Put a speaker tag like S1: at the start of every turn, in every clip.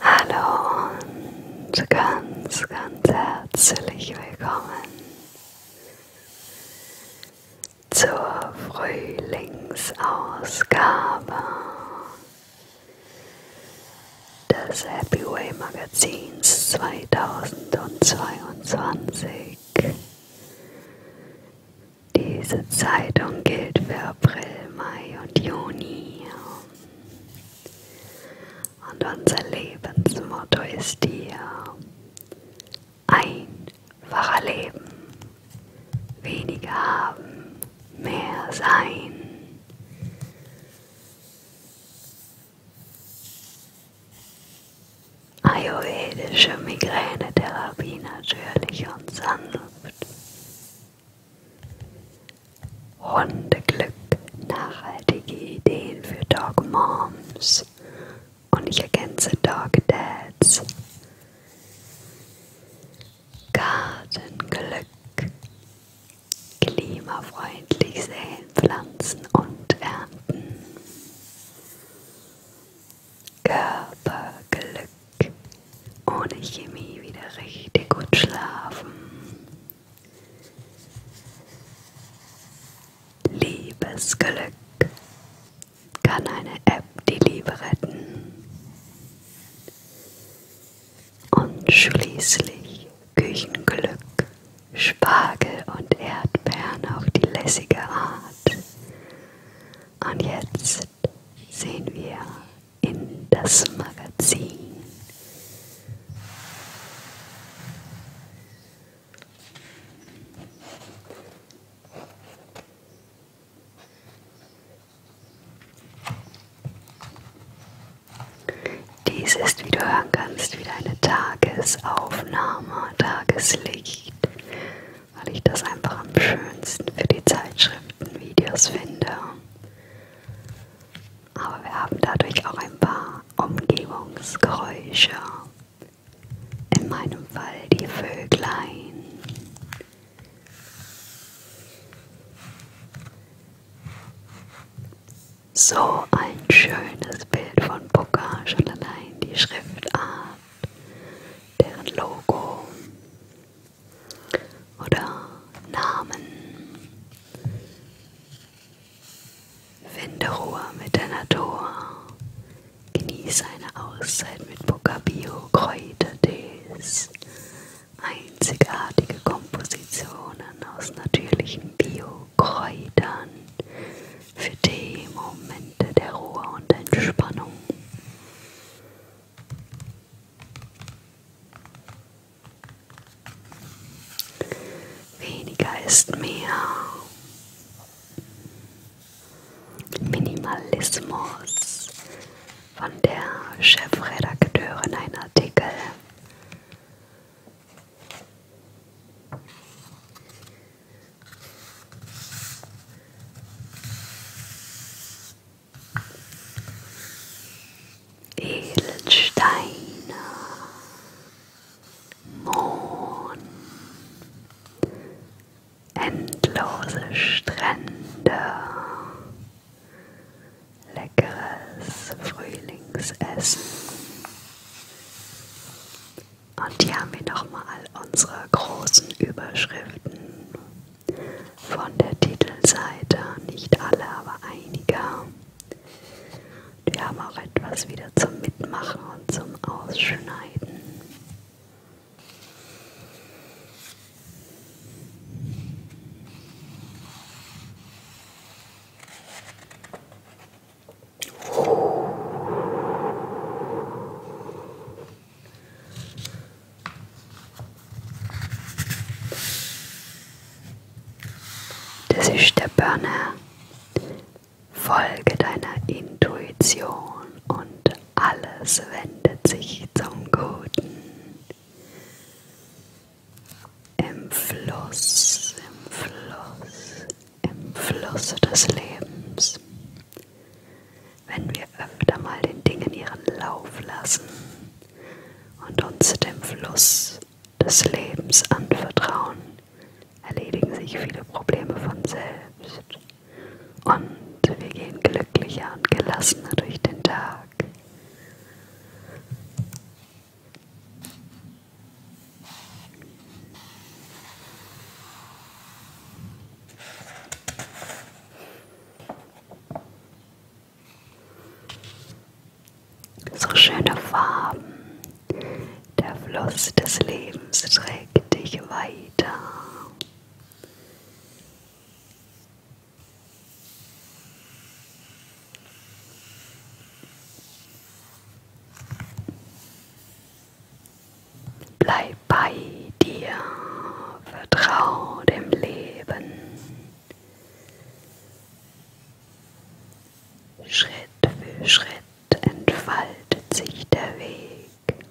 S1: Hallo und ganz, ganz herzlich willkommen zur Frühlingsausgabe des Happy Way Magazins 2022 diese Zeitung gilt für April, Mai und Juni. Und unser Lebensmotto ist hier einfacher Leben, weniger haben, mehr sein. Ayurvedische Migränetherapie natürlich und sanft. Hundeglück, nachhaltige Ideen für Dog Moms und ich ergänze Dog Dads. Gartenglück, klimafreundlich säen, pflanzen und ernten. Körperglück. Ohne Chemie wieder richtig gut schlafen. Liebesglück. Kann eine App die Liebe retten. Und schließlich Küchenglück. Spargel und Erdbeeren auf die lässige Art. Und jetzt Jetzt sehen wir in das Magazin. Dies ist, wie du hören kannst, wieder eine Tagesaufnahme, Tageslicht weil ich das einfach am schönsten für die Zeitschriftenvideos finde. Aber wir haben dadurch auch ein paar Umgebungsgeräusche. In meinem Fall die Vöglein. So ein schönes Bild von Booker, schon allein die Schriftart, deren Logo oder Namen. Finde Ruhe mit der Natur. Genieße eine Auszeit mit Bocabio Kräutertees. Einzigartige Kompositionen aus natürlichen Bio-Kräutern für Tee, Momente der Ruhe und Entspannung. Weniger ist mehr. Minimalismus von der Chefredakteurin ein Artikel. Edelsteine, Mohn, endlose Strände, leckeres Frühlingsessen. Und hier haben wir nochmal unsere großen Überschriften von der Titelseite, nicht alle, aber einige. Wir haben auch etwas wieder zum Mitmachen und zum Ausschneiden. Das ist der Burner. Folge deiner Intuition und alles wendet sich zum Guten. Im Fluss, im Fluss, im Fluss des Lebens wenn wir öfter mal den Dingen ihren Lauf lassen und uns dem Fluss des Lebens anvertrauen, erledigen sich viele Probleme von selbst und wir gehen glücklicher und gelassener durch den Tag. So schöne Farben. Der Fluss des Lebens trägt dich weiter. Bleib bei dir, vertrau dem Leben. Schritt für Schritt entfaltet sich der Weg.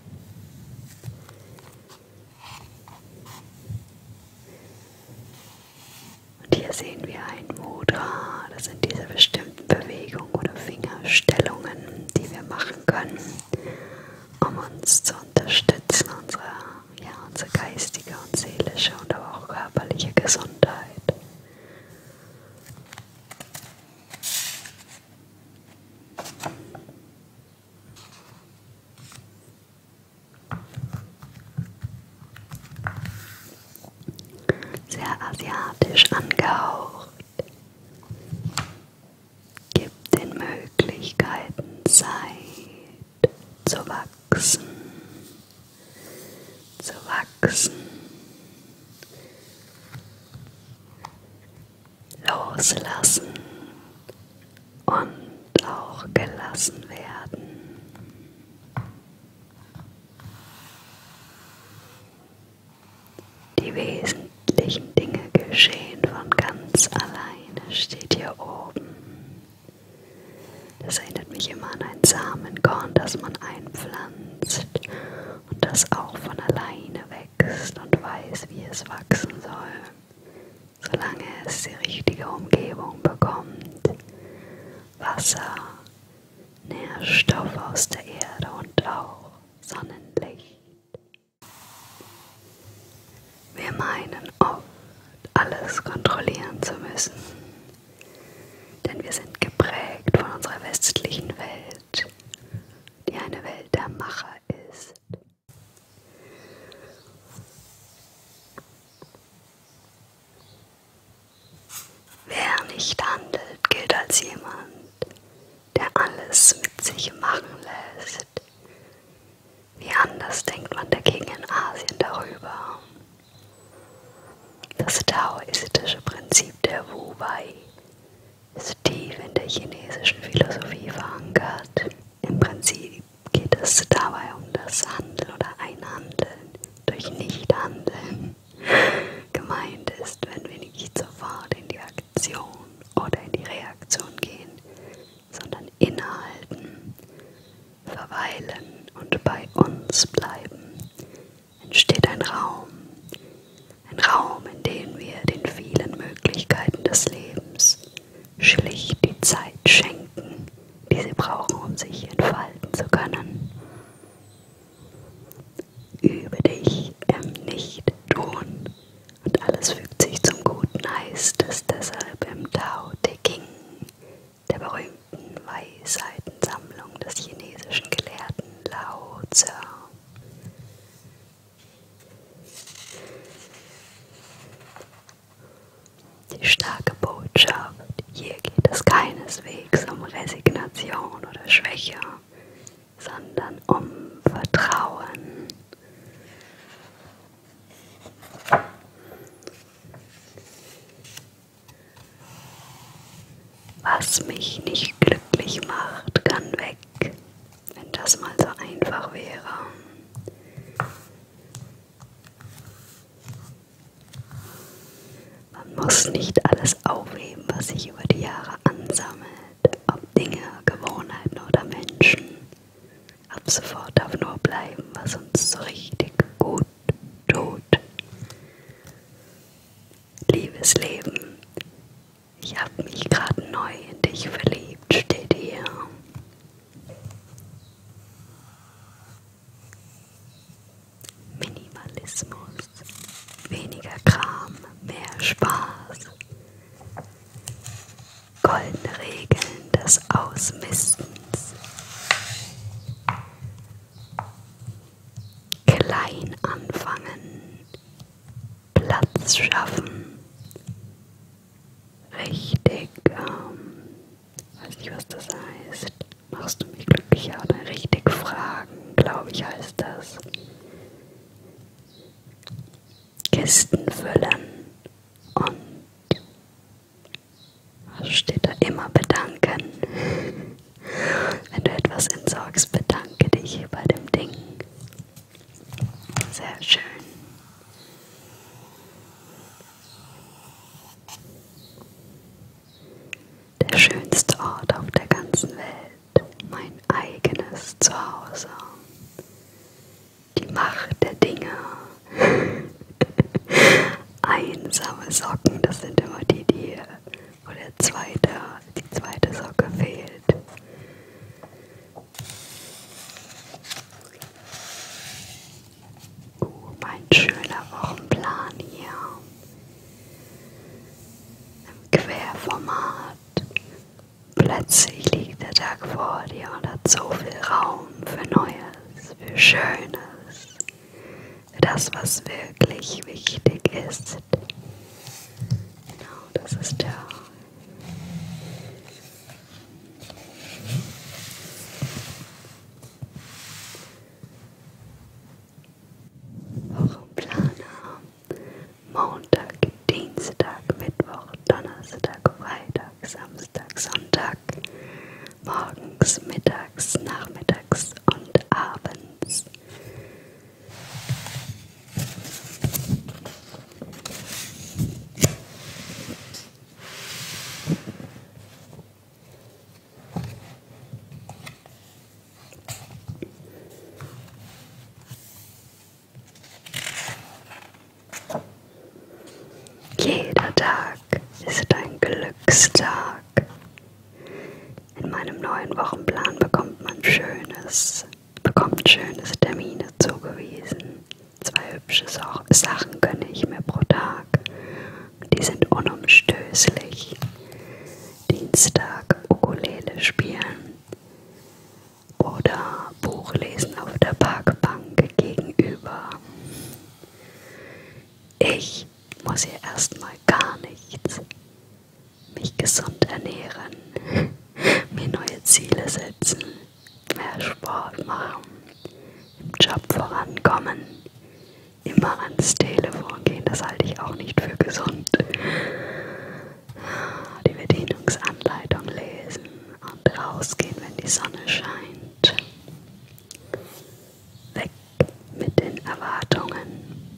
S1: Und hier sehen wir ein Mudra. Das sind diese bestimmten Bewegungen oder Fingerstellungen, die wir machen können, um uns zu unterstützen, unsere ja, unsere geistige und seelische und aber auch körperliche Gesundheit. Sehr asiatisch angehaucht. Gib den Möglichkeiten Zeit zu wachsen, zu wachsen. Loslassen und auch gelassen werden. Die wesentlichen Dinge geschehen von ganz allein steht hier oben. Das erinnert mich immer an ein Samenkorn, das man einpflanzt und das auch von alleine wächst und weiß, wie es wachsen soll, solange es die richtige Umgebung bekommt. Wasser, Nährstoff aus der Erde und auch Sonnenlicht. Wir meinen oft, alles kontrollieren zu müssen, denn wir sind geprägt von unserer westlichen Welt, die eine Welt der Macher ist. Wer nicht handelt, gilt als jemand, der alles mit sich machen lässt ist. Wie anders denkt man dagegen in Asien darüber? Das taoistische Prinzip der Wu Wei ist tief in der chinesischen Philosophie verankert. Im Prinzip geht es dabei um das Handeln oder Einhandeln durch Nichthandeln. Gemeint ist, wenn wir nicht sofort in die Aktion oder in die Reaktion gehen, sondern innehalten, verweilen und bei uns bleiben, entsteht ein Raum, ein Raum, in dem wir den vielen Möglichkeiten des Lebens schlicht die Zeit schenken, die sie brauchen, um sich entfalten zu können. Übe dich im Nicht-Tun und alles fügt sich zum Guten, heißt es deshalb im Tao Te King, der berühmten Weisheitensammlung des chinesischen Gelehrten Lao Tzu. Die starke Botschaft, hier geht es keineswegs um Resignation oder Schwäche, sondern um Vertrauen. Was mich nicht glücklich macht, kann weg. Wenn das mal so einfach wäre. Man muss nicht alles aufheben, was sich über die Jahre ansammelt, ob Dinge, Gewohnheiten oder Menschen. Ab sofort darf nur bleiben, was uns so richtig gut tut. Liebes Leben, ich hab mich gerade neu in dich verliebt, steht hier. Minimalismus, weniger Kram, mehr Spaß goldene Regeln des Ausmistens. Klein anfangen, Platz schaffen, richtig, ähm, weiß nicht, was das heißt, machst du mich glücklicher oder richtig fragen, glaube ich, heißt das. Kisten füllen und also steht da immer bedanken. Wenn du etwas entsorgst, bedanke dich bei dem Ding. Sehr schön. Der schönste Ort auf der ganzen Welt, mein eigenes Zuhause die Macht der Dinge. Einsame Socken, das sind immer die, die wo der zweite, die zweite Socke fehlt. Oh, uh, mein schöner Wochenplan hier. Im Querformat. Plötzlich liegt der Tag vor dir und hat so viel Raum. Raum für Neues, für Schönes, für das, was wirklich wichtig ist. Genau, das ist der Wochenplaner. Montag, Dienstag, Mittwoch, Donnerstag, Freitag, Samstag, Sonntag, morgens, mittags, nachmittags und abends. Jeder Tag ist ein Glückstag. In meinem neuen Wochenplan bekommt man Schönes, bekommt schönes Termine zugewiesen. Zwei hübsche Sachen gönne ich mir pro Tag. Und die sind unumstößlich. Dienstag Ukulele spielen oder Buch lesen auf der Parkbank gegenüber. Ich muss hier erstmal gar nichts. Mich gesund ernähren, mir neue Ziele setzen, mehr Sport machen, im Job vorankommen, immer ans Telefon gehen, das halte ich auch nicht für gesund. Die Bedienungsanleitung lesen und rausgehen, wenn die Sonne scheint. Und weg mit den Erwartungen.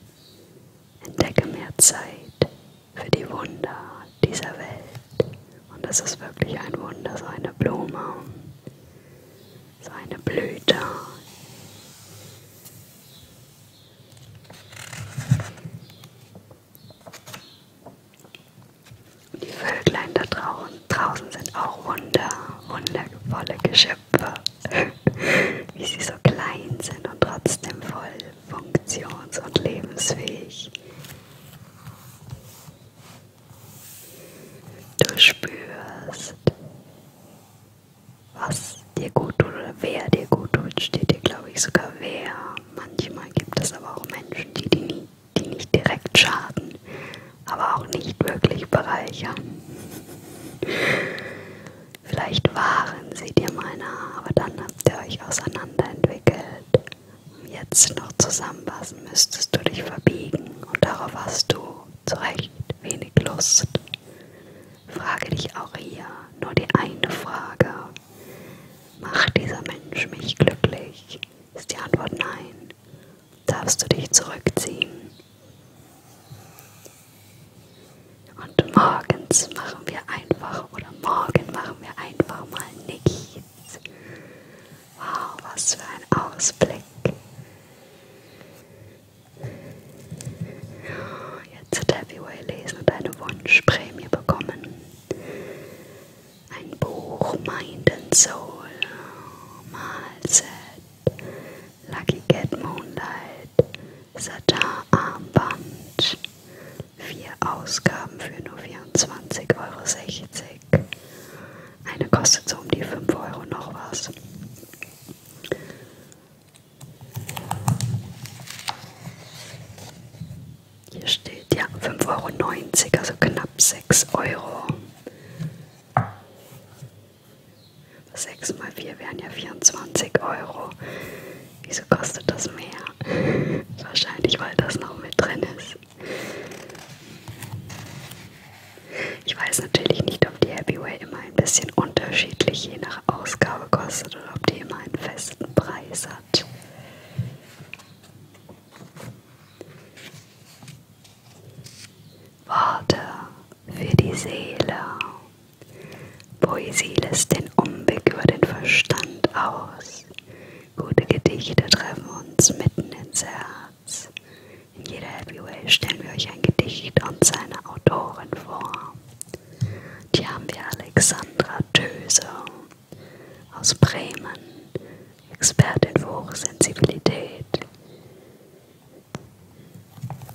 S1: Entdecke mehr Zeit für die Wunder dieser Welt. Und das ist wirklich ein Wunder, so eine Blume, so eine Blüte. Und die Vöglein da draußen, draußen sind auch wunder, wundervolle Geschöpfe, wie sie so klein sind und trotzdem voll funktions- und lebensfähig. Du spürst, was dir gut tut oder wer dir gut tut, steht dir, glaube ich, sogar wer. Manchmal gibt es aber auch Menschen, die dir nie die nicht direkt schaden, aber auch nicht wirklich bereichern. Vielleicht waren sie dir meiner, aber dann habt ihr euch auseinanderentwickelt. Jetzt noch zusammenpassen müsstest du dich verbiegen und darauf hast du zu Recht wenig Lust. Frage dich auch hier nur die eine Frage. Macht dieser Mensch mich glücklich? Ist die Antwort nein, darfst du dich zurückziehen. Und morgens machen wir einfach oder morgen machen wir einfach mal nichts. Wow, was für ein Ausblick. Jetzt hat Happy Way lesen und eine Wunschprämie bekommen ein Buch Mind and Soul, Malset, Lucky Cat Moonlight, Satar Armband, vier Ausgaben für nur 24,60 Euro. Eine kostet so um die 5 Euro noch was. Hier steht ja 5,90 Euro, also knapp 6 Euro. 6 mal 4 wären ja 24 Euro. Wieso kostet das mehr? Wahrscheinlich, weil das noch mit drin ist. Ich weiß natürlich nicht, ob die Happyway immer ein bisschen unterschiedlich je nach Ausgabe kostet oder ob die immer einen festen Preis hat. Worte für die Seele. Poesie lässt den Umweg über den Verstand aus. Gute Gedichte treffen uns mitten ins Herz. In jeder Happy Way stellen wir euch ein Gedicht und seine Autorin vor. Hier haben wir Alexandra Döse aus Bremen Expertin für Hochsensibilität.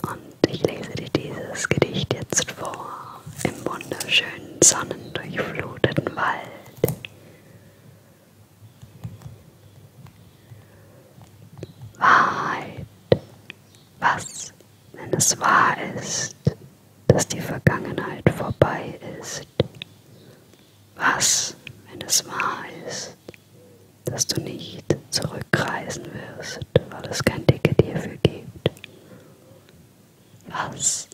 S1: Und ich lese dir dieses Gedicht jetzt vor im wunderschönen sonnendurchfluteten Wald. Wahrheit. Was, wenn es wahr ist, dass die Vergangenheit vorbei ist? Was, wenn es wahr ist, dass du nicht zurückreisen wirst, weil es kein Ticket hierfür gibt? Was,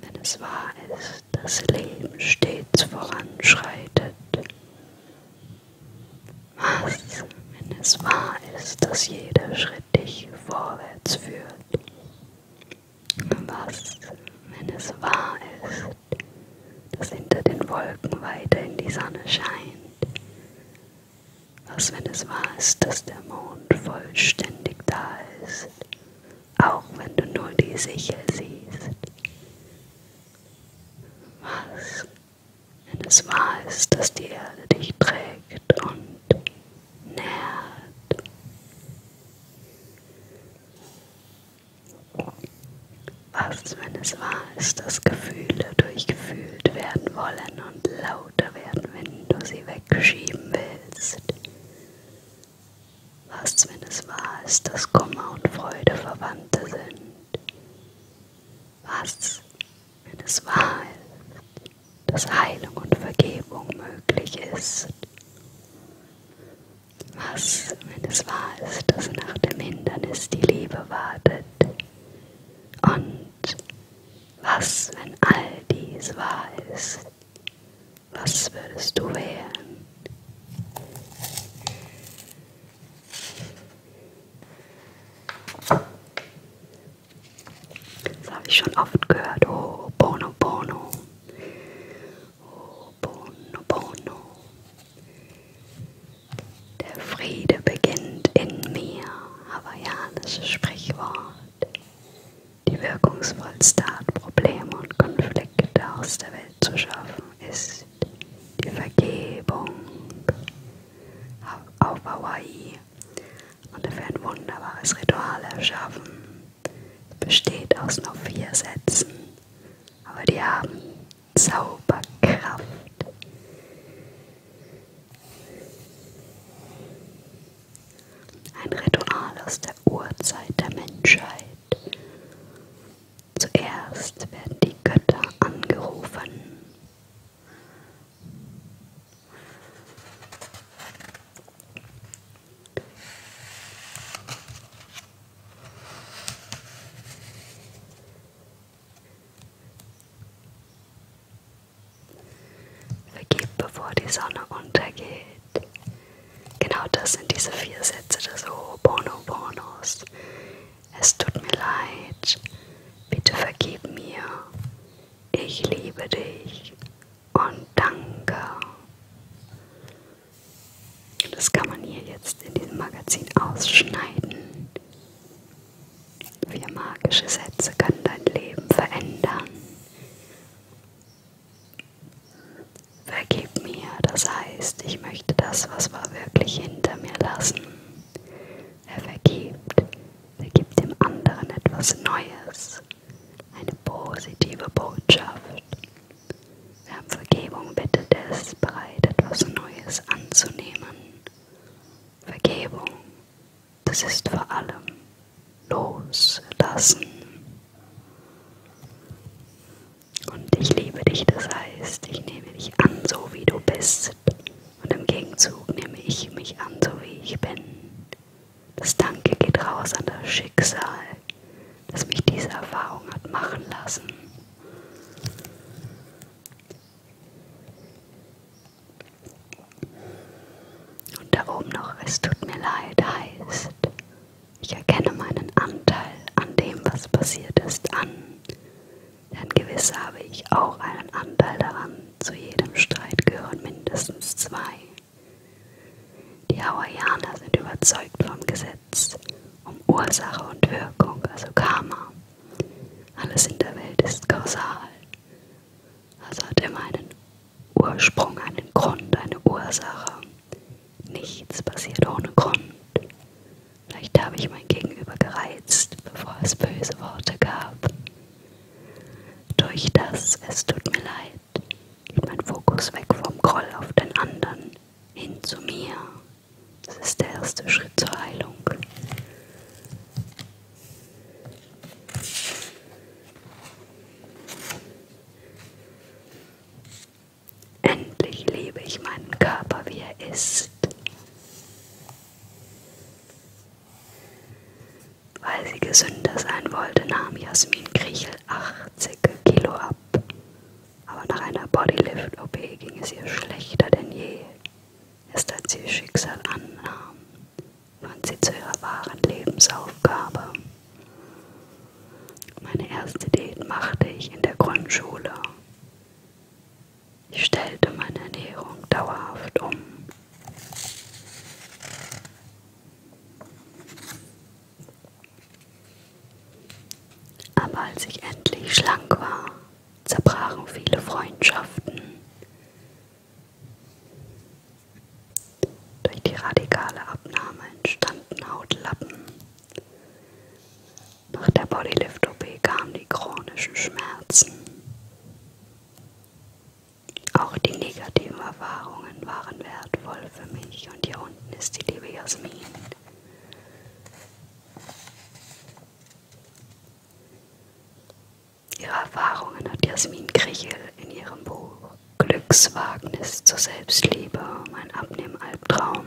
S1: wenn es wahr ist, dass Leben stets voranschreitet? Was, wenn es wahr ist, dass jeder Schritt dich vorwärts führt? Was, wenn es wahr ist, dass hinter den Wolken weiter in die Sonne scheint? Was, wenn es wahr ist, dass der Mond vollständig da ist, auch wenn du nur die Sichel siehst? Was, wenn es wahr ist, dass die Erde dich trägt und nährt? Was, wenn es wahr ist, dass Gefühle durchgefühlt werden wollen und lauter werden, wenn du sie wegschieben willst? Was, wenn es wahr ist, dass Kummer und Freude Verwandte sind? Was, wenn es wahr ist, dass Heilung und Vergebung möglich ist? was, wenn es wahr ist, dass nach dem Hindernis die Liebe wartet? Und was, wenn all dies wahr ist? Was würdest du wählen? Das habe ich schon oft gehört. Oh, Bono, Bono. Ho'oponopono. Der Friede beginnt in mir, hawaiianisches Sprichwort. Die wirkungsvollste Art, Probleme und Konflikte aus der Welt zu schaffen, ist die Vergebung. Auf Hawaii und dafür ein wunderbares Ritual erschaffen. Es besteht aus nur vier Sätzen aber die haben Zauberkraft. Ein Ritual aus der Urzeit der Menschheit. Zuerst werden die Götter angerufen. Vergib, bevor die Sonne untergeht. Genau das sind diese vier Sätze des Ho'oponoponos. Es tut mir leid, bitte vergib mir. Ich liebe dich und danke. Das kann man hier jetzt in diesem Magazin ausschneiden. Vier magische Sätze können dein Leben verändern. Vergib mir, das heißt, ich möchte das, was war wirklich hinter mir lassen. Er vergibt, er gibt dem anderen etwas Neues, eine positive Botschaft. Wer um Vergebung bittet, ist bereit, etwas Neues anzunehmen. Vergebung, das ist vor allem loslassen. Und ich liebe dich, das heißt, ich nehme dich an, so wie du bist. Und im Gegenzug nehme ich mich an, so wie ich bin. Das Danke geht raus an das Schicksal, dass mich diese Erfahrung hat machen lassen. Und da oben noch, es tut mir leid, heißt, ich erkenne meinen Anteil an dem, was passiert ist, an. Denn gewiss habe ich auch einen Anteil daran. Zu jedem Streit gehören mindestens zwei. Die Hawaiianer sind überzeugt vom Gesetz Gesetz, um Ursache und Wirkung, also Karma. Alles in der Welt ist kausal, also hat immer einen Ursprung, einen Grund, eine Ursache. Nichts passiert ohne Grund. Vielleicht habe ich mein Gegenüber gereizt, bevor es böse Worte gab. Durch das, es tut mir leid, geht mein Fokus weg vom Groll auf den anderen hin zu mir. Das ist der erste Schritt zur Heilung. Endlich liebe ich meinen Körper, wie er ist. Weil sie gesünder sein wollte, nahm Jasmin Kriechel 80 Kilo ab aber nach einer Bodylift-OP ging es ihr schlechter denn je. Erst als sie ihr Schicksal annahm, fand sie zu ihrer wahren Lebensaufgabe. Meine erste Diät machte ich in der Grundschule. Ich stellte meine Ernährung dauerhaft um. Aber als ich endlich schlank war, zerbrachen viele Freundschaften. Durch die radikale Abnahme entstanden Hautlappen. Nach der Bodylift-OP kamen die chronischen Schmerzen. Auch die negativen Erfahrungen waren wertvoll für mich und hier unten ist die liebe Jasmin. Ihre Erfahrungen hat Jasmin Krichel in ihrem Buch Glückswagnis zur Selbstliebe, mein Abnehmalbtraum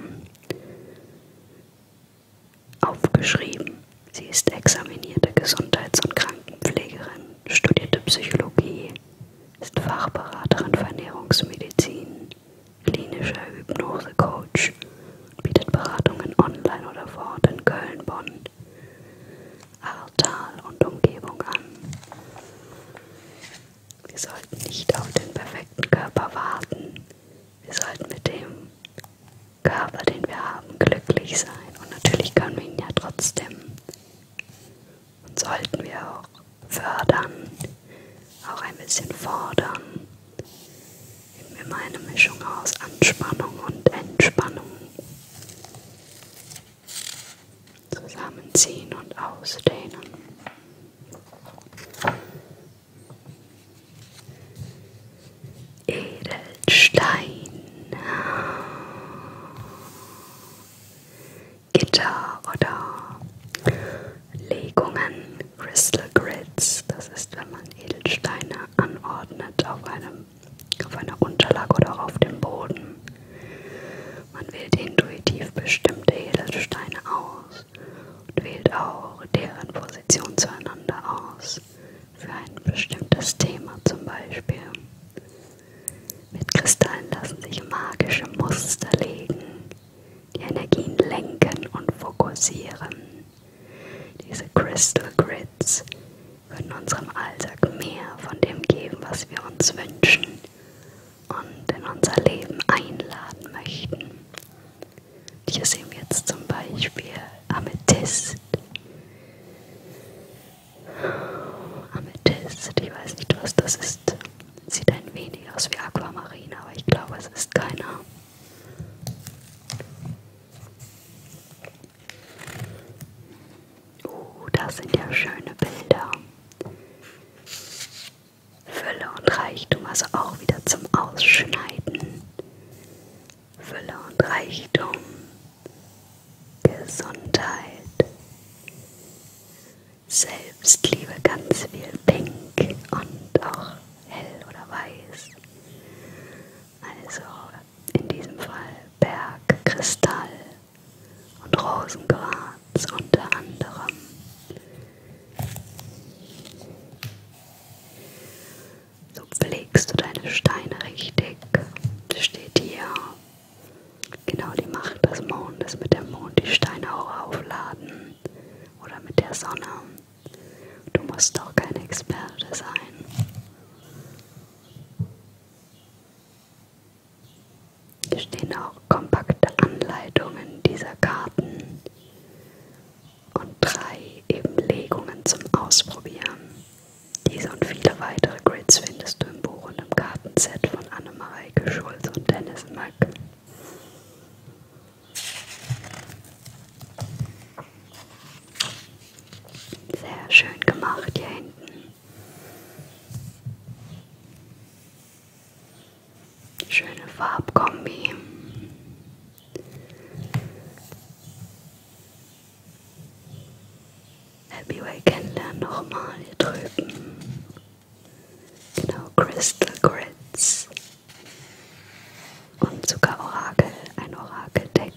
S1: aufgeschrieben. Sie ist examinierte Gesundheits- und Krankenpflegerin, studierte Psychologie, ist Fachberaterin für Ernährungsmedizin, klinischer Hypnosecoach und bietet Beratungen online oder vor Ort in Köln, Bonn, Ahrtal und Umgebung an. Wir sollten nicht auf den perfekten Körper warten. Wir sollten mit dem Körper, den wir haben, glücklich sein. Und natürlich können wir ihn ja trotzdem. Und sollten wir auch fördern, auch ein bisschen fordern. Eben immer eine Mischung aus Anspannung und Entspannung. Zusammenziehen und ausdehnen. Edelstein. Gitter oder Legungen. Crystal Grids. Das ist, wenn man Edelsteine anordnet auf, einem, auf einer Unterlage oder auf dem Boden. Man wählt intuitiv bestimmte Edelsteine aus und wählt auch deren Position zueinander aus. Für ein bestimmtes Thema zum Beispiel. Mit Kristallen lassen sich magische Muster legen die Energien lenken und fokussieren. Diese Crystal Grids können unserem Alltag mehr von dem geben, was wir uns wünschen und in unser Leben einladen möchten. Hier sehen wir jetzt zum Beispiel Amethyst. Amethyst, ich weiß nicht, was das ist. Sieht ein wenig aus wie Aquamarin, aber ich glaube, es ist keiner. Uh, das sind ja schöne Bilder. Fülle und Reichtum, also auch wieder zum Ausschneiden. Fülle und Reichtum. Gesundheit. Selbstliebe ganz viel pink und auch hell oder weiß. Also in diesem Fall Berg, Kristall und Rosenquarz unter anderem. So belegst du deine Steine richtig. Das steht hier. Genau die Macht des Mondes mit dem Mond die Steine auch aufladen oder mit der Sonne. Du musst doch kein Experte sein. Hier stehen auch kompakte Anleitungen dieser Karten und drei eben Legungen zum Ausprobieren. Diese und viele weitere Grids findest du im Buch und im Kartenset von Annemareike Schulz und Dennis Mack. Sehr schön gemacht hier hinten. Schöne Farbkombi. Happy Way kennenlernen nochmal hier drüben. Genau, Crystal Grits. Und sogar Orakel, ein Orakeldeck.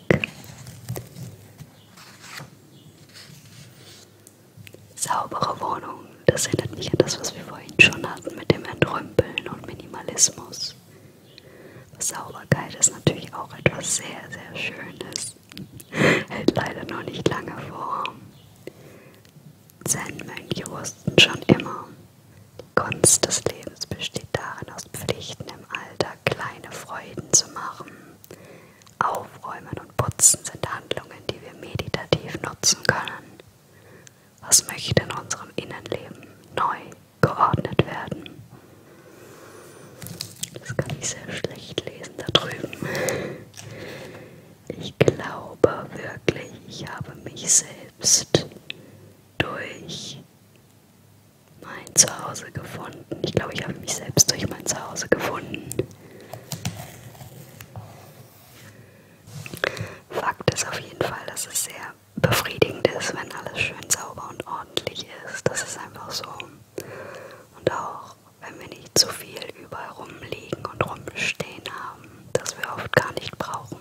S1: Saubere Wohnung, das erinnert mich an das, was wir vorhin schon hatten mit dem Entrümpeln und Minimalismus. Sauberkeit ist natürlich auch etwas sehr, sehr Schönes. Hält leider noch nicht lange vor. Zen-Mönche wussten schon immer, die Kunst des Lebens besteht darin, aus Pflichten im Alltag kleine Freuden zu machen. Aufräumen und Putzen sind Handlungen, die wir meditativ nutzen können. Was möchte in unserem Innenleben neu geordnet werden? Das kann ich sehr schlecht lesen da drüben. Ich glaube wirklich, ich habe mich sehr selbst durch mein Zuhause gefunden. Ich glaube, ich habe mich selbst durch mein Zuhause gefunden. Fakt ist auf jeden Fall, dass es sehr befriedigend ist, wenn alles schön sauber und ordentlich ist. Das ist einfach so. Und auch, wenn wir nicht zu viel überall rumliegen und rumstehen haben, das wir oft gar nicht brauchen.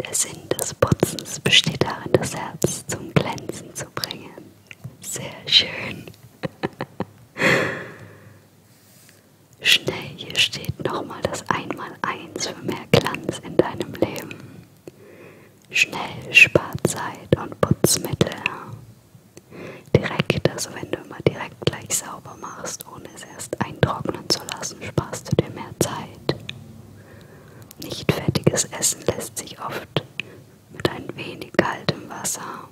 S1: Der Sinn des Putzens besteht darin, das Herz zum Glänzen zu bringen. Sehr schön. Schnell, hier steht nochmal das Einmaleins für mehr Glanz in deinem Leben. Schnell, spart Zeit und Putzmittel. Direkt, also wenn du immer direkt gleich sauber machst, ohne es erst eintrocknen zu lassen, sparst du dir mehr Zeit. Nicht fertiges Essen lässt sich oft mit ein wenig kaltem Wasser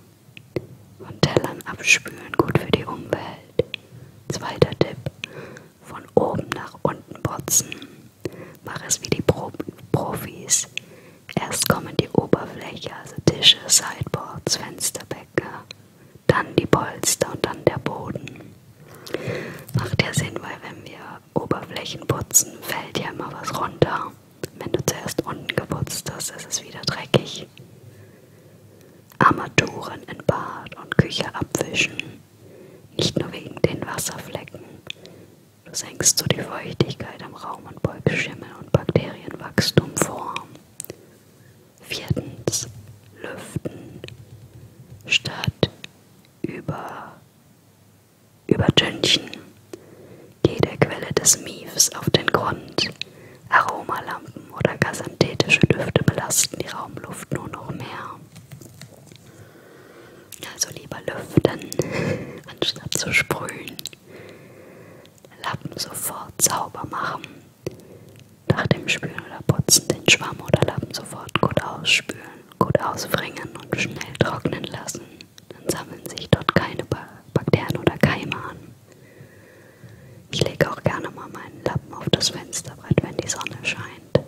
S1: von Tellern abspülen, gut für die Umwelt. Zweiter Tipp, von oben nach unten putzen. Mach es wie die Pro Profis. Erst kommen die Oberfläche, also Tische, Sideboards, Fensterbänke, dann die Polster und dann der Boden. Macht ja Sinn, weil wenn wir Oberflächen putzen, fällt ja immer was runter. Wenn du zuerst unten geputzt hast, ist es wieder dreckig. Armaturen in Bad und Küche abwischen. Nicht nur wegen den Wasserflecken, senkst du die Feuchtigkeit am Raum und beugst Schimmel und Bakterienwachstum vor. Viertens. Lüften. Statt über übertünchen. Geh der Quelle des Miefs auf den Grund. Aromalampen oder gasanthetische Düfte belasten die Raumluft nur noch mehr. Also lieber lüften, anstatt zu sprühen. Lappen sofort sauber machen. Nach dem Spülen oder Putzen den Schwamm oder Lappen sofort gut ausspülen, gut ausbringen und schnell trocknen lassen. Dann sammeln sich dort keine Bakterien oder Keime an. Ich lege auch gerne mal meinen Lappen auf das Fensterbrett, wenn die Sonne scheint.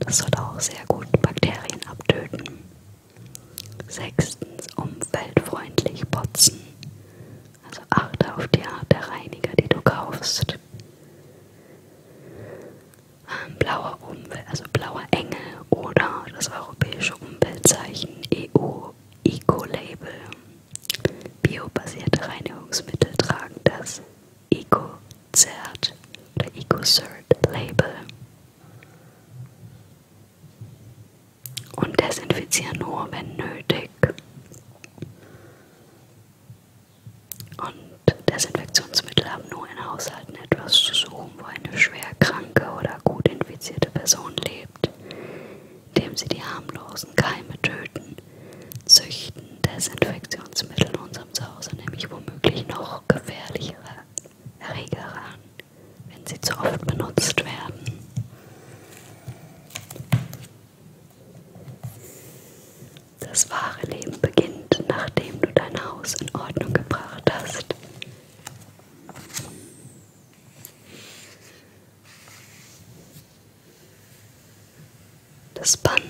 S1: Das soll auch sehr gut Bakterien abtöten. Sechstens umweltfreundlich putzen. Also achte auf die Art der Reiniger, die du kaufst. Ähm, blauer Umwelt, also blauer Engel oder das europäische Umweltzeichen EU Eco-Label. Biobasierte Reinigungsmittel tragen das Eco-Zert oder Eco-Cert-Label und desinfiziere nur, wenn nötig. Und Desinfektionsmittel haben nur in Haushalten etwas zu suchen, wo eine schwerkranke oder gut infizierte Person lebt, indem sie die harmlosen Keime töten, züchten Desinfektionsmittel in unserem Zuhause nämlich womöglich noch gefährlichere Erreger ran, wenn sie zu oft benutzt werden. Das wahre Leben beginnt, nachdem du dein Haus in Ordnung gebracht hast. Das Band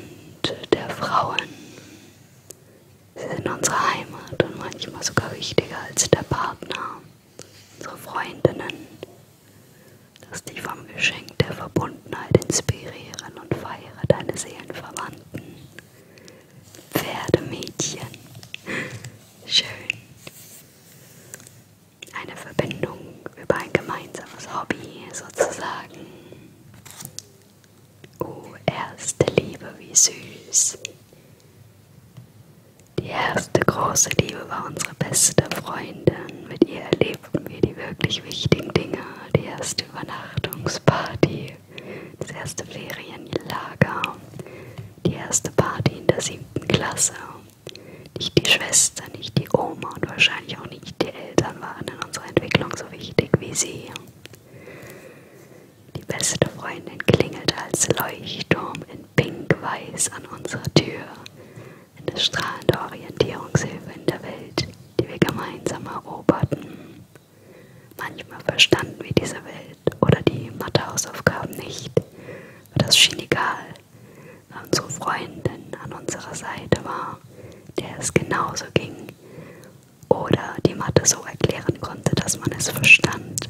S1: der Frauen. Sie sind unsere Heimat und manchmal sogar wichtiger als der Partner unsere Freundinnen. Lass dich vom Geschenk der Verbundenheit inspirieren und feiere deine Seelenverwandten. Pferdemädchen. Schön. Eine Verbindung über ein gemeinsames Hobby sozusagen. Oh, erste Liebe, wie süß. Die erste große Liebe war unsere beste Freundin. Mit ihr erlebten wir die wirklich wichtigen Dinge. Die erste Übernachtungsparty, das erste Ferienlager, die erste Party in der siebten Klasse. Nicht die Schwester, nicht die Oma und wahrscheinlich auch nicht die Eltern waren in unserer Entwicklung so wichtig wie sie. Die beste Freundin klingelt als Leuchtturm in Pink-Weiß an unserer Tür. Eine strahlende Orientierungshilfe in der Welt, die wir gemeinsam eroberten. Manchmal verstanden wir diese Welt oder die Mathehausaufgaben nicht, aber das schien egal, weil unsere Freundin an unserer Seite war, der es genauso ging oder die Mathe so erklären konnte, dass man es verstand.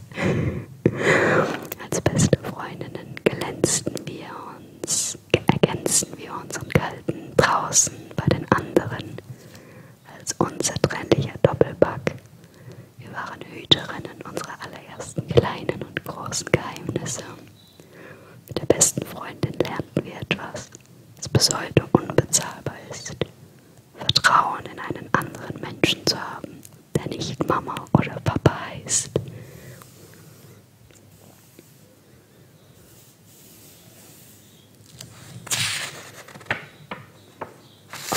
S1: Als beste Freundinnen glänzten wir uns, ergänzten wir uns und galten draußen bei den anderen als unzertrennlicher Doppelpack. Wir waren Hüterinnen unserer allerersten kleinen und großen Geheimnisse. Mit der besten Freundin lernten wir etwas, das bis heute unbezahlbar ist. Vertrauen in einen anderen Menschen zu haben, der nicht Mama oder Papa heißt.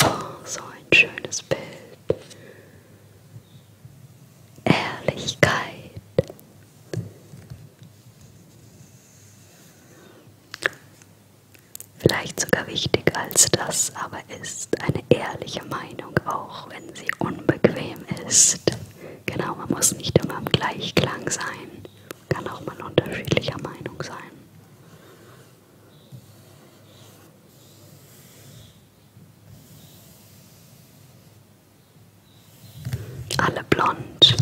S1: Oh, so ein schönes Bild. Ehrlichkeit. Vielleicht sogar wichtiger als das aber ist eine ehrliche Meinung, auch wenn sie unbequem ist. Genau, man muss nicht immer im Gleichklang sein, kann auch mal unterschiedlicher Meinung sein. Alle blond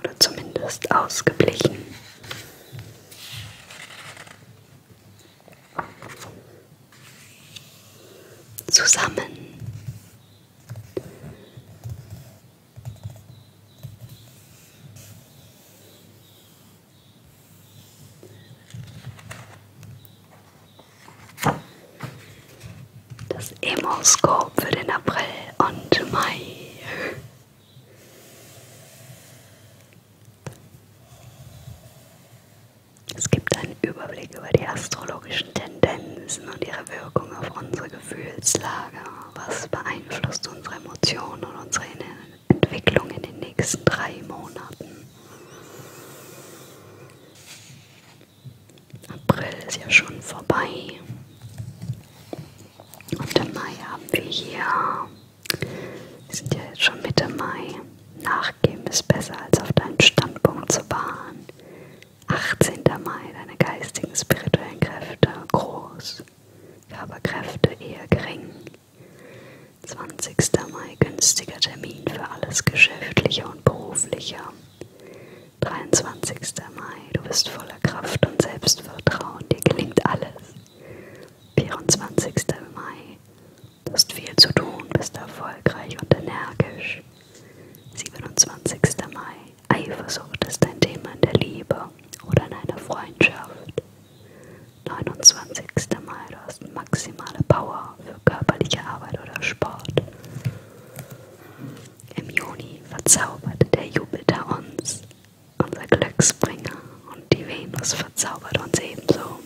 S1: oder zumindest ausgeblichen zusammen. Das Emo-Scope für den April und Mai. Es gibt einen Überblick über die astrologischen Tendenzen und ihre Wirkung auf unsere Gefühlslage. Was beeinflusst unsere Emotionen und unsere Entwicklung in den nächsten drei Monaten? April ist ja schon vorbei. Und im Mai haben wir hier wir sind ja jetzt schon Mitte Mai. Nachgeben ist besser, als auf deinen Standpunkt zu beharren. 18. Mai, deine geistigen, spirituellen Kräfte groß, Körperkräfte eher gering. 20. Mai, günstiger Termin für alles Geschäftliche und Berufliche. 23. Mai, du bist voller Kraft und Selbstvertrauen, dir gelingt alles. 24. Mai. Du hast viel zu tun, bist erfolgreich und energisch. 27. Mai. Eifersucht ist ein Thema in der Liebe oder in einer Freundschaft. 29. Mai. Du hast maximale Power für körperliche Arbeit oder Sport. Im Juni verzauberte der Jupiter uns unser Glücksbringer und die Venus verzaubert uns ebenso.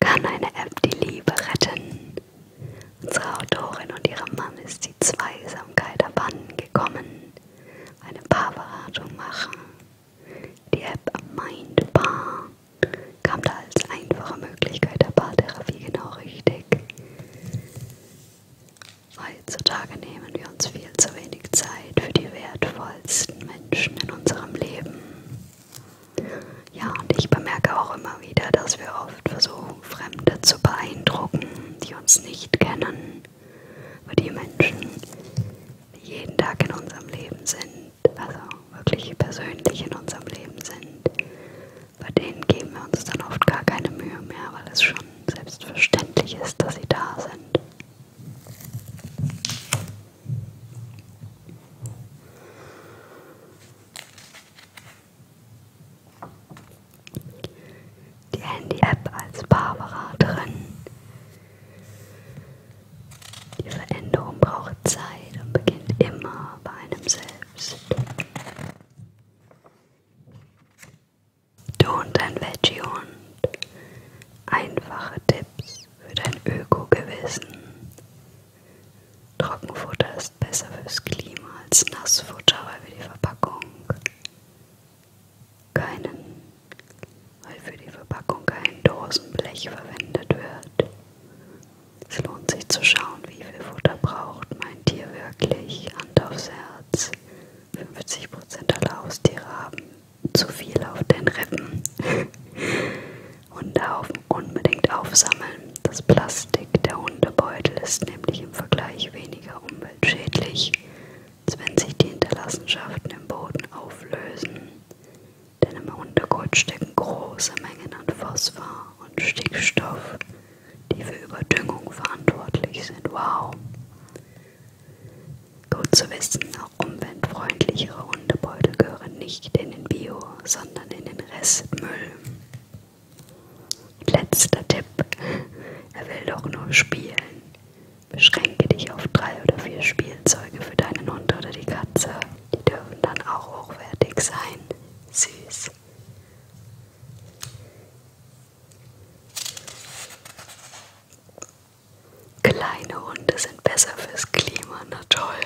S1: Kann eine App die Liebe retten? Unsere Autorin und ihrem Mann ist die Zweisamkeit abhandengekommen. Eine Paarberatung machen. Die App Mindbar kam da als einfache Möglichkeit der Paartherapie genau richtig. Heutzutage nehmen wir uns viel zu wenig Zeit für die wertvollsten Menschen in unserem Leben. Ja, und ich bemerke auch immer wieder, dass wir oft versuchen, Fremde zu beeindrucken, die uns nicht kennen, aber die Menschen, die jeden Tag in unserem Leben sind, also wirklich persönlich in unserem Leben sind, bei denen geben wir uns dann oft gar keine Mühe mehr, weil es schon selbstverständlich ist, dass sie da sind. Die Handy-App als Paarberaterin. Die Veränderung braucht Zeit und beginnt immer bei einem selbst. Du und dein Veggie-Hund. Einfache Tipps für dein Öko-Gewissen. Trockenfutter ist besser fürs Klima als Nassfutter, weil wir die Verpackung keinen, weil für die Verpackung kein Dosenblech verwendet wird. Es lohnt sich zu schauen, wie viel Futter braucht mein Tier wirklich Hand aufs Herz. 50% aller Haustiere haben zu viel auf den Rippen. Hundehaufen unbedingt aufsammeln. Das Plastik der Hundebeutel ist nämlich im Vergleich weniger umweltschädlich, als wenn sich die Hinterlassenschaften im Boden auflösen. Denn im Hundekot stecken große Mengen an Phosphor und Stickstoff, die für Überdüngung verantwortlich sind. Wow! Gut zu wissen, auch umweltfreundlichere Hundebeutel gehören nicht in den Bio, sondern in den Restmüll. Letzter Tipp. Er will doch nur spielen. Beschränke dich auf drei oder vier Spielzeuge für deinen Hund oder die Katze. Die dürfen dann auch hochwertig sein. Süß. Kleine Hunde sind besser fürs Klima, na toll.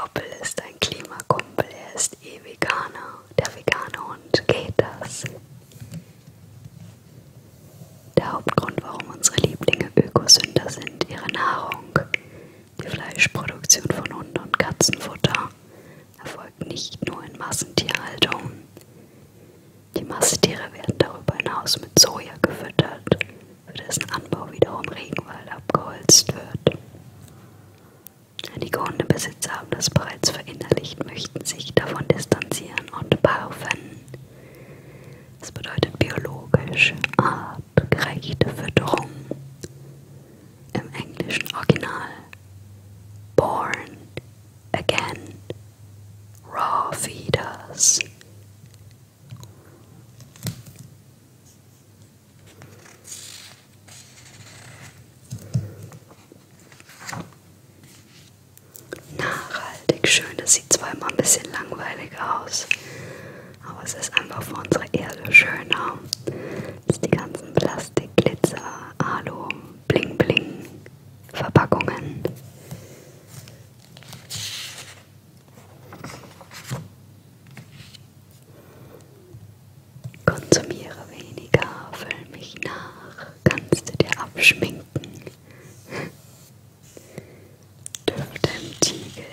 S1: Hoppel ist ein Klimakumpel, er ist eh Veganer. Der vegane Hund geht das. Der Hauptgrund, warum unsere Lieblinge Ökosünder sind, ihre Nahrung. Die Fleischproduktion von Hunden und Katzenfutter erfolgt nicht nur in Massentierhaltung. Die Massentiere werden darüber hinaus mit Soja gefüttert, für dessen Anbau wiederum Regenwald abgeholzt wird. Einige Hundebesitzer haben das bereits verinnerlicht, möchten sich davon distanzieren und barfen. Das bedeutet biologisch A. Ah, gereichte Fütterung im englischen Original Born Again Raw Feeders. Nachhaltig schön, das sieht zwar immer ein bisschen langweilig aus, aber es ist einfach für unsere Erde schöner. Als die ganzen Plastik, Glitzer, Alu, Bling Bling, Verpackungen. Konsumiere weniger, füll mich nach, kannst du dir abschminken. Dürfte im Tiegel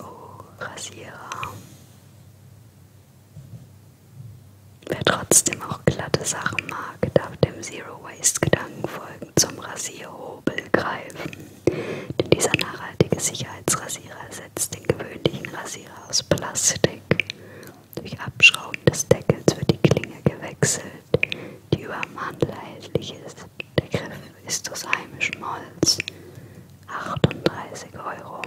S1: Oh, Rasierer. Wer trotzdem auch glatte Sachen mag, darf dem Zero-Waste-Gedanken folgen zum Rasierhobel greifen. Denn dieser nachhaltige Sicherheitsrasierer ersetzt den gewöhnlichen Rasierer aus Plastik durch Abschrauben des Deckels wird die Klinge gewechselt, die über dem Handel erhältlich ist. Der Griff ist aus heimischem Holz. 38 Euro.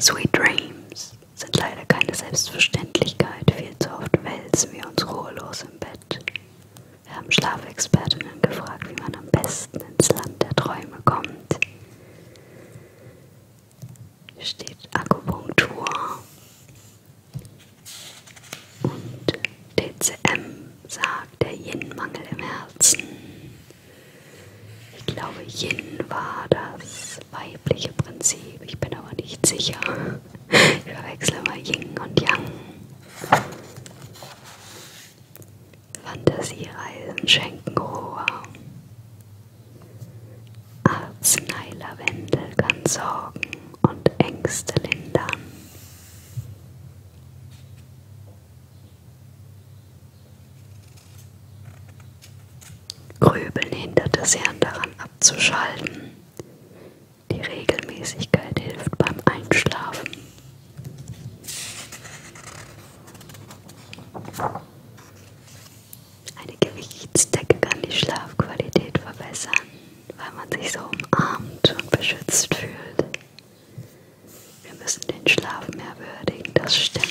S1: Sweet Dreams sind leider keine Selbstverständlichkeit. Viel zu oft wälzen wir uns ruhelos im Bett. Wir haben Schlafexpertinnen gefragt, wie man am besten ins Land der Träume kommt. Hier steht Akupunktur und DCM sagt der Yin-Mangel im Herzen. Ich glaube, Yin war das weibliche Prinzip. Ich bin aber nicht sicher. Ich verwechsel mal Yin und Yang. Fantasiereisen schenken Ruhe. Arzneilavendel kann Sorgen und Ängste lindern. Grübeln hindert es Hirn daran abzuschalten. Die Regelmäßigkeit hilft beim Einschlafen. Eine Gewichtsdecke kann die Schlafqualität verbessern, weil man sich so umarmt und beschützt fühlt. Wir müssen den Schlaf mehr würdigen, das stimmt.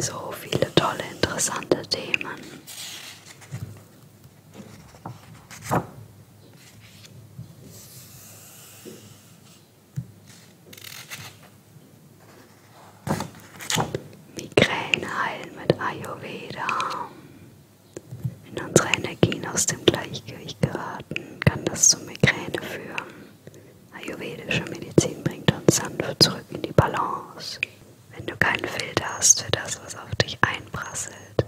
S1: So viele tolle, interessante Themen. Migräne heilen mit Ayurveda. Wenn unsere Energien aus dem Gleichgewicht geraten, kann das zu Migräne führen. Ayurvedische Medizin bringt uns sanft zurück in die Balance. Wenn du keinen Filter hast für das, was auf dich einprasselt,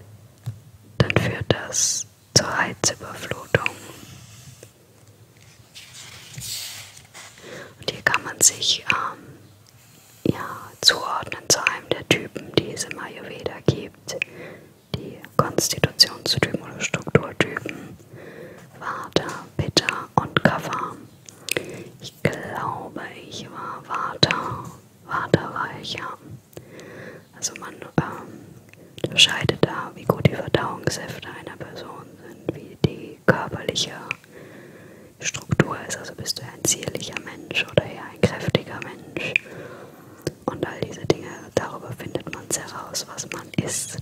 S1: dann führt das zur Reizüberflutung. Und hier kann man sich ähm, ja, zuordnen zu einem der Typen, die es im Ayurveda gibt. Die Konstitutionstypen oder Strukturtypen. Vata, Pitta und Kapha. Ich glaube, ich war Vater. Vater war ich, ja. Also man ähm, unterscheidet da, wie gut die Verdauungssäfte einer Person sind, wie die körperliche Struktur ist. Also bist du eher ein zierlicher Mensch oder eher ein kräftiger Mensch. Und all diese Dinge, darüber findet man heraus, was man isst.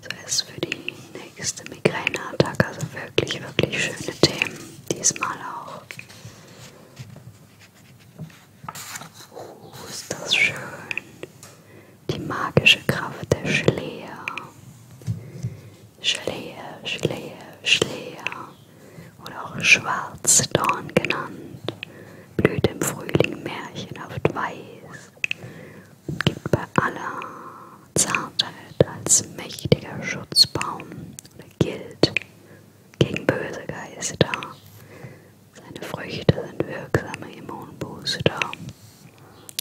S1: Zuerst für die nächste Migräneattacke, also wirklich, wirklich schöne Themen, diesmal auch. Oh, ist das schön. Die magische Kraft der Schleer. Schleer, Schleer, Schleer oder auch Schwarzdorn genannt, blüht im Frühling märchenhaft weiß und gibt bei aller Zartheit als mächtiger Schutzbaum oder gilt gegen böse Geister. Seine Früchte sind wirksame Immunbooster,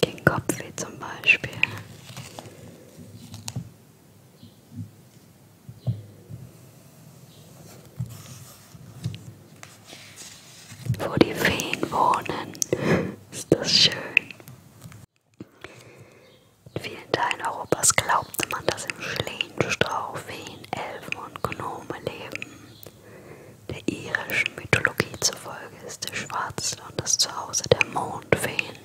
S1: gegen Kopfweh zum Beispiel. Wo die Feen wohnen, ist das schön. In vielen Teilen Europas glaubte man, dass im Schlehenstrauch Feen, Elfen und Gnome leben. Der irischen Mythologie zufolge ist der Schwarzland das Zuhause der Mondfeen.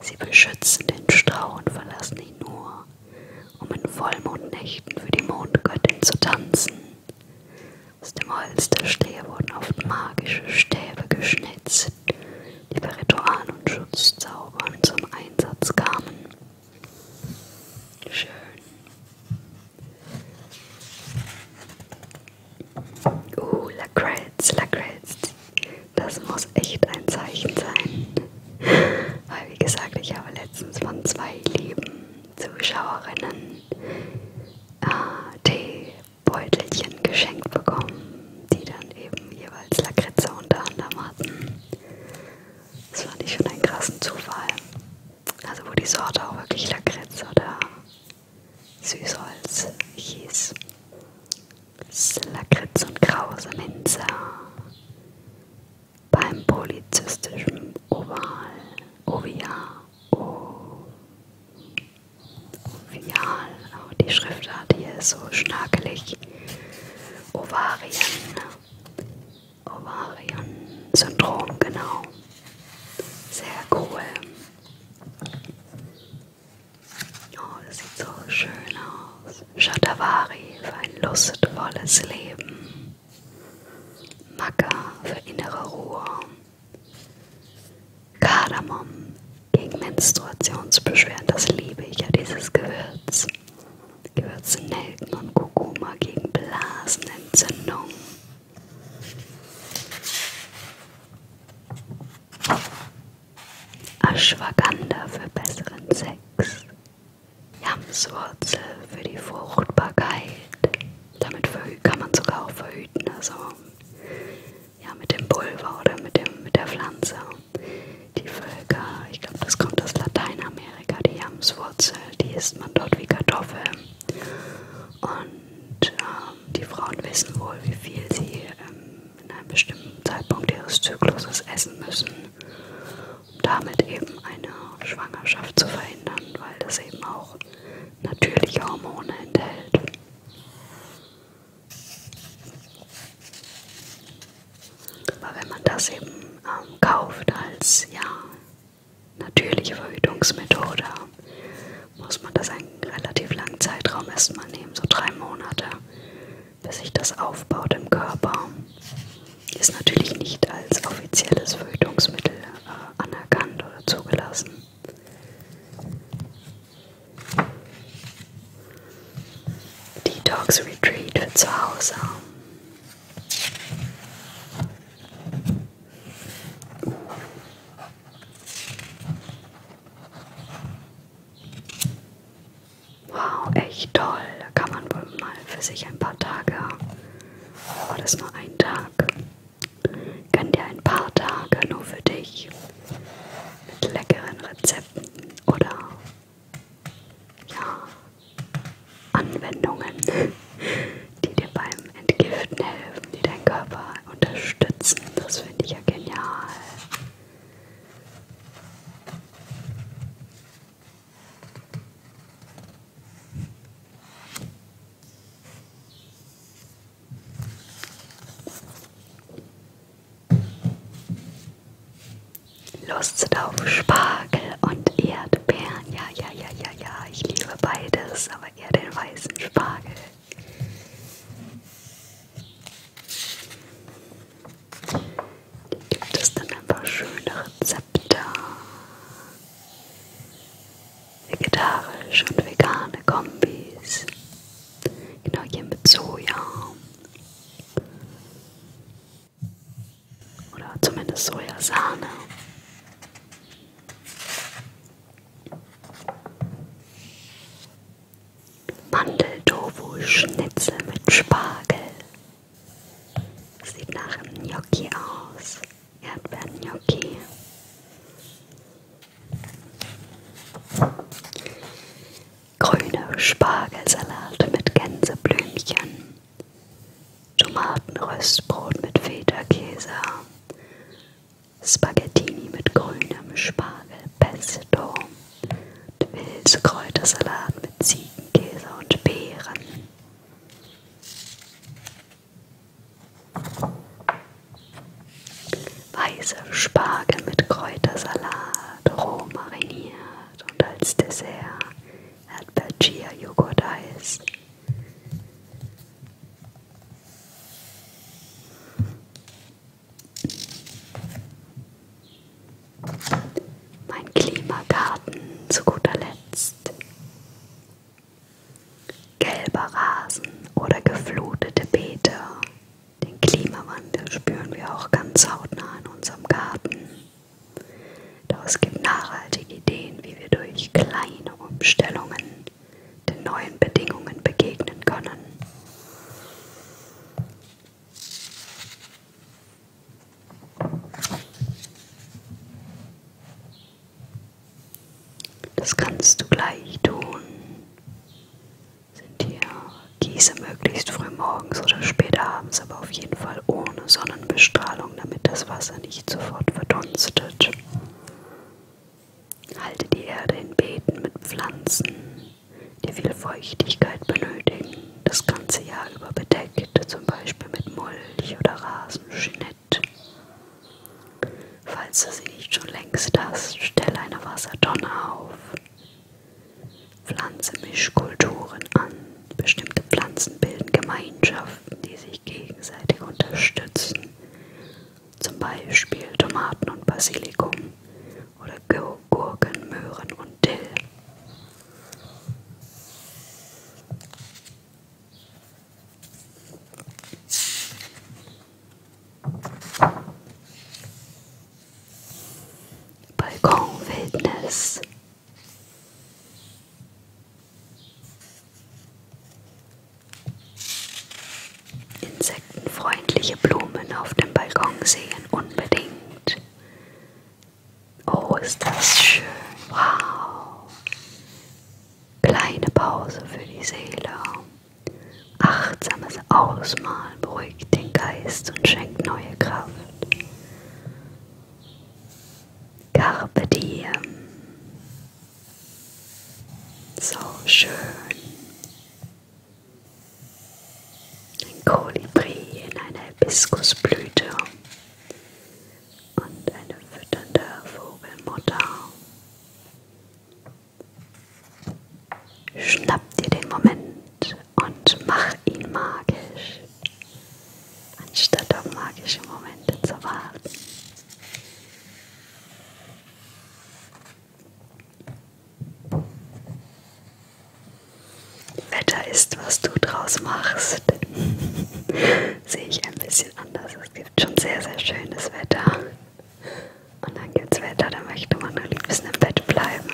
S1: Sie beschützen den Strauch und verlassen ihn nur, um in Vollmondnächten für die Mondgöttin zu tanzen. Aus dem Holz der Stehe wurden oft magische Stäbe geschnitzt, die bei Ritualen und Schutzzaubern zum Einsatz kamen. Schön. Uh, Lacrets, Lacrets. Das muss echt ein Zeichen sein. Weil, wie gesagt, ich habe letztens von zwei lieben Zuschauerinnen äh, Teebeutelchen geschenkt bekommen, die dann eben jeweils Lakritze unter anderem hatten. Das fand ich schon einen krassen Zufall. Also, wo die Sorte auch wirklich Lakritz oder Süßholz hieß. Lakritz und krause Minze beim polyzystischen Oval, Oviar, Ovial, auch die Schriftart hier ist so schnakelig, Ovarien, Ovarien-Syndrom, genau, sehr cool. Oh, das sieht so schön aus. Shatavari für ein lustvolles Leben, Maca für innere Ruhe, Kardamom gegen Menstruationsbeschwerden, das liebe ich ja, dieses Gewürz. Gewürze Nelken und Kurkuma gegen Blasenentzündung. Ashwagandha für besseren Sex. Jamswurzel für die Fruchtbarkeit. Damit kann man sogar auch verhüten, also ja, mit dem Pulver oder mit, dem, mit der Pflanze. Die Völker, ich glaube, das kommt aus Lateinamerika, die Jamswurzel, die isst man dort wie Kartoffel. Und ähm, die Frauen wissen wohl, wie viel sie ähm, in einem bestimmten Zeitpunkt ihres Zykluses essen müssen damit eben eine Schwangerschaft zu verhindern, weil das eben auch natürliche Hormone enthält. Aber wenn man das eben ähm, kauft als ja natürliche Verhütungsmethode, muss man das einen relativ langen Zeitraum erstmal nehmen, so drei Monate, bis sich das aufbaut im Körper. Ist natürlich nicht als offizielles Verhütungsmittel äh, anerkannt oder zugelassen. Detox Retreat für zu Hause. Wow, echt toll. Da kann man wohl mal für sich ein paar Tage. War das nur ein Tag? Gönn dir ein paar Tage nur für dich. Mit leckeren Rezepten oder ja, Anwendungen, die dir beim Entgiften helfen, die deinen Körper unterstützen. Das finde ich ja genial. Lust auf Spargel und Erdbeeren. Ja, ja, ja, ja, ja. Ich liebe beides, aber eher den weißen Spargel. Das sind einfach schöne Rezepte. Vegetarisch und vegane Kombis. Genau hier mit Soja. Oder zumindest Sojasahne. Mandeltofu-Schnitzel mit Spargel. Sieht nach einem Gnocchi aus. Erdbeeren-Gnocchi. Grüne Spargelsalate mit Gänseblümchen. Tomatenröstbrot mit Feta-Käse. Spaghettini mit grünem Spargel, Pesto, Wilskräutersalat mit Ziegen. Käse und Beeren. Weiße Spargel mit Kräutersalat, roh mariniert und als Dessert Erdbeer-Chia-Joghurt-Eis. Mein Klimagarten zu guter Letzt. Gelber Rasen oder geflutete Beete. Den Klimawandel spüren wir auch ganz hautnah in unserem Garten. Doch es gibt nachhaltige Ideen, wie wir durch kleine Umstellungen den neuen Bedingungen begegnen können. Das kannst du gleich tun. Sind hier Gieße möglichst früh morgens oder später abends, aber auf jeden Fall ohne Sonnenbestrahlung, damit das Wasser nicht sofort verdunstet. Halte die Erde in Beeten mit Pflanzen, die viel Feuchtigkeit benötigen das ganze Jahr über bedeckt, zum Beispiel mit Mulch oder Rasenschnitt. Falls du sie nicht schon längst hast, stell eine Wassertonne auf. Pflanze Mischkulturen an. Bestimmte Pflanzen bilden Gemeinschaften, die sich gegenseitig unterstützen. Zum Beispiel Tomaten und Basilikum oder Gurken, Möhren und Dill. Balkon Wildnis. Insektenfreundliche Blumen auf dem Balkon sehen unbedingt. Oh, ist das schön. Wow. Kleine Pause für die Seele. Achtsames Ausmalen beruhigt den Geist und schenkt neue Kraft. Carpe diem. So schön. Ein Kolibri in einer Hibiskusblüte und eine fütternde Vogelmutter. Schnapp dir den Moment und mach ihn magisch, anstatt auf magische Momente zu warten. Wetter ist, was du draus machst. Sehe ich ein bisschen anders. Es gibt schon sehr, sehr schönes Wetter. Und dann gibt es Wetter, da möchte man am liebsten im Bett bleiben.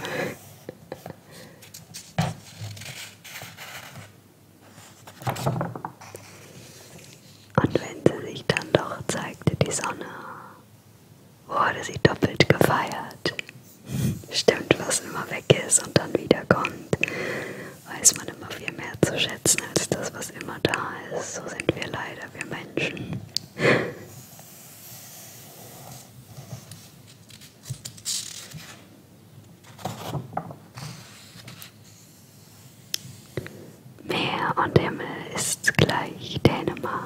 S1: Und wenn sie sich dann doch zeigte, die Sonne, wurde sie doppelt gefeiert stimmt, was immer weg ist und dann wiederkommt, weiß man immer viel mehr zu schätzen als das, was immer da ist. So sind wir leider, wir Menschen. Meer und Himmel ist gleich Dänemark.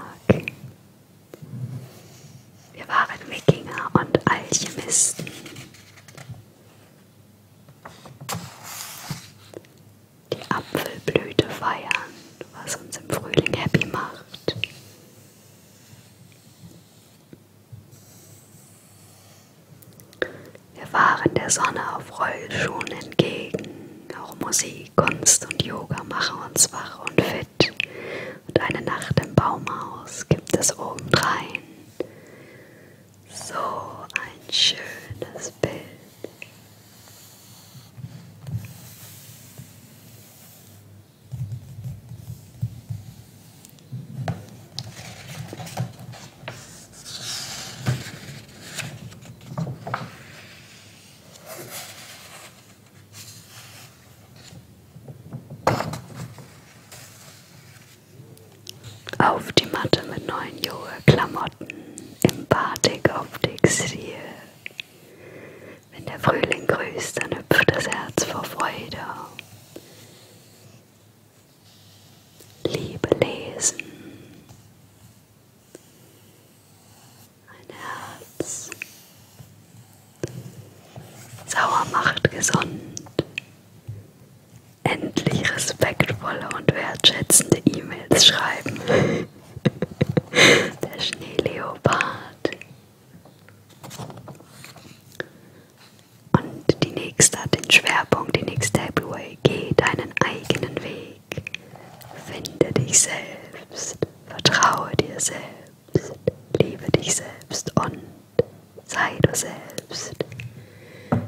S1: Wir waren Wikinger und Alchemisten. Die Apfelblüte feiern, was uns im Frühling happy macht. Wir waren der Sonne auf Rollschuhen entgegen. Auch Musik, Kunst und Yoga machen uns wach und fit und eine Nacht im Baumhaus gibt es obendrein. So ein schönes Bild. Auf die Matte mit neuen Yoga-Klamotten im Batik auf Textil. Wenn der Frühling grüßt, dann hüpft das Herz vor Freude. Liebe lesen. Ein Herz. Sauer macht gesund endlich respektvolle und wertschätzende E-Mails schreiben. Der Schneeleopard. Und die nächste hat den Schwerpunkt, die nächste Takeaway. Geh deinen eigenen Weg. Finde dich selbst. Vertraue dir selbst. Liebe dich selbst und Sei du selbst.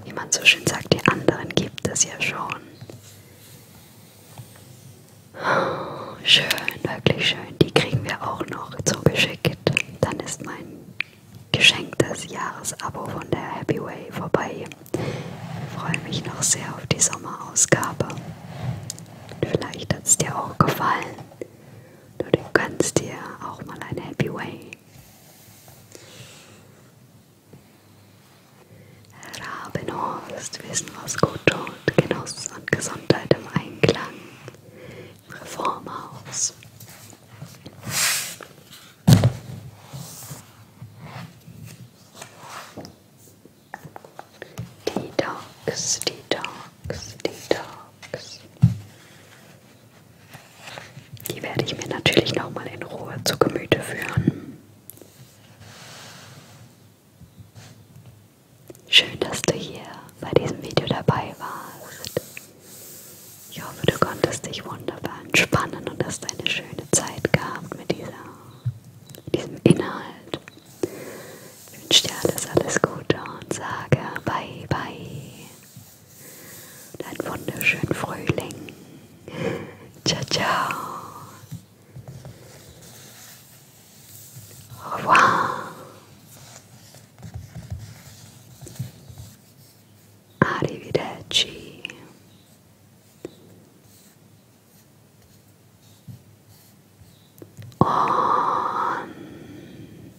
S1: Wie man so schön sagt, die anderen gibt es ja schon. Oh, schön, wirklich schön. Die kriegen wir auch noch zugeschickt. Dann ist mein geschenktes Jahresabo von der Happy Way vorbei. Ich freue mich noch sehr auf die Sommerausgabe. Vielleicht hat es dir auch gefallen. Du kannst dir auch mal eine Happy Way Rabenhorst, Wissen, was gut tut, Genuss und Gesundheit im Einklang, im Reformhaus. Detox, Detox, Detox. Box. Die werde ich mir natürlich nochmal in Ruhe zu Gemüte führen. Schön, dass du hier bei diesem Video dabei warst. Ich hoffe, du konntest dich wunderbar entspannen und hast eine schöne Zeit gehabt mit dieser, diesem Inhalt. Ich wünsche dir alles, alles Gute und sage bye bye. Und einen wunderschönen Frühling. Ciao, ciao. Au revoir. Arrivederci. Und